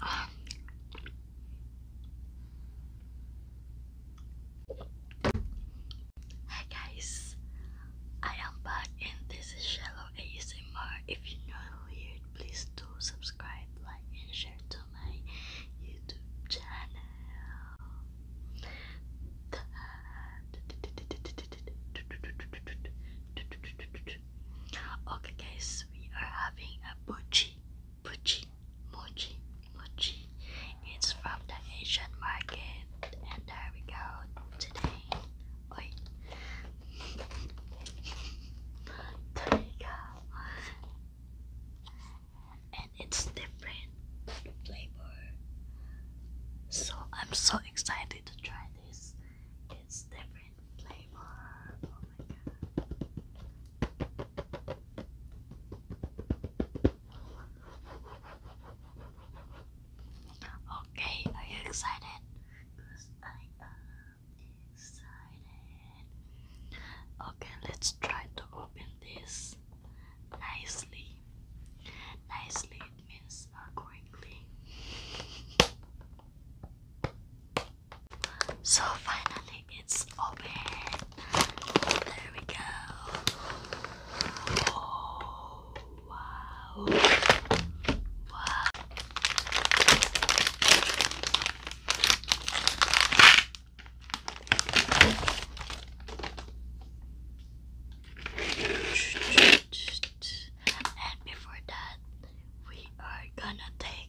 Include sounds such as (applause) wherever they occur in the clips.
Hi guys, I am back and this is Shallow ASMR. If you're new here, please do subscribe, like, and share to my YouTube channel. Okay guys, we are having a buchi, buchi, mochi, mochi. It's from the Asian market and there we go today. There we go. And it's different flavor. So I'm so excited to try this. It's different flavor. Oh okay, are you excited? Cause I am excited. Okay, let's try to open this nicely. Nicely it means accordingly. Uh, so finally it's open. There we go. Oh wow. Wow. And before that, we are gonna take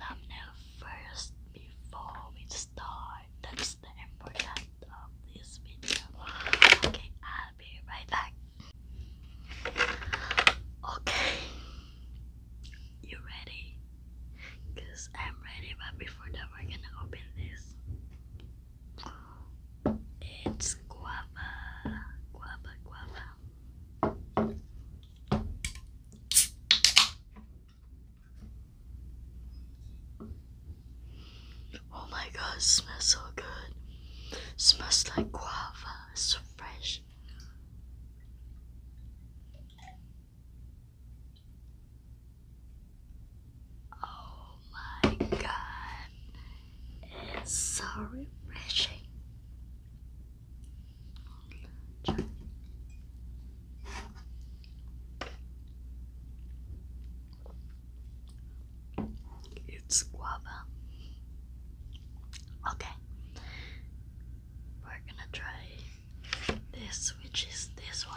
thumbnail first before we start. That's the important of this video. Okay, I'll be right back. Okay, you ready? Cause I'm ready, but before that, we're gonna open this. It's guava, guava, guava. Oh my god, it smells so good. smells like guava, so fresh. Oh my god, it's so refreshing. It's guava. Okay, we're gonna try this, which is this one.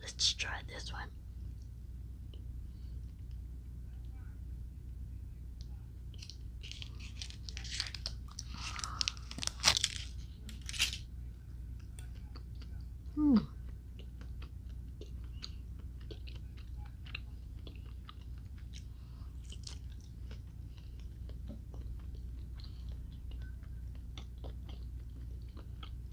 Let's try this one. Hmm.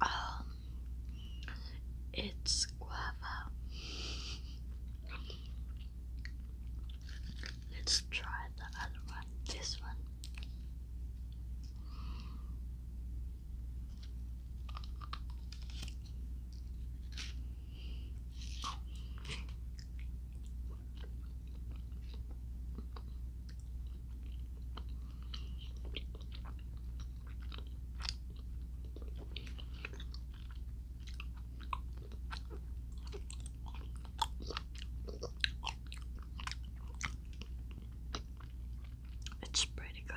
Um, it's guava. Let's try the other one. This one. It's pretty good.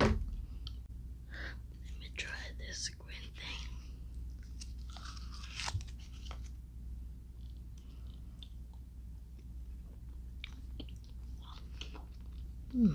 Let me try this green thing. Hmm.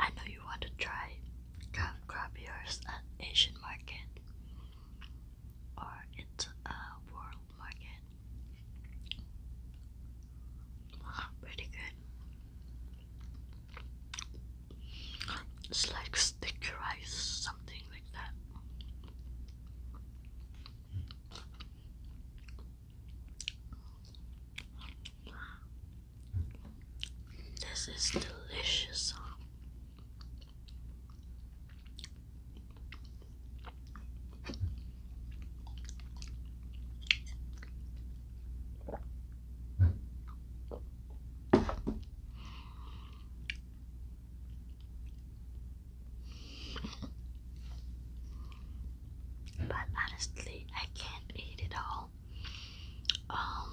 I know you want to try crab crab ears at Asian market or it's a world market. Pretty good. It's like sticky rice, something like that. This is delicious. But honestly, I can't eat it all. Um,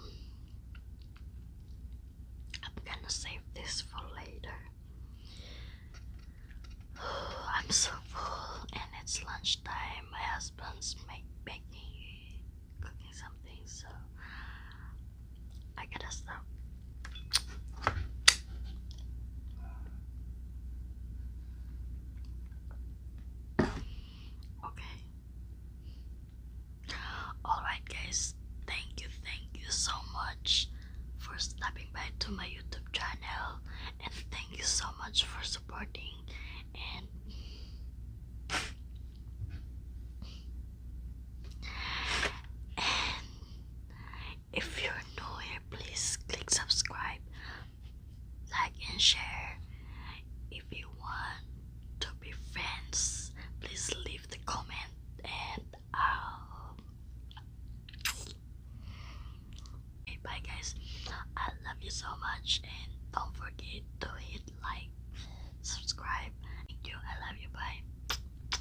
I'm gonna save this for later. (sighs) I'm so full, and it's lunchtime. My husband's make, baking, cooking something, so I get us though. Okay. Alright, guys. Thank you, thank you so much for stopping by to my YouTube channel, and thank you so much for supporting. and if you're new here, please click subscribe, like, and share. If you want to be friends, please leave the comment and I'll. Um, okay, bye, guys. I love you so much, and don't forget to hit like, subscribe. Thank you. I love you. Bye.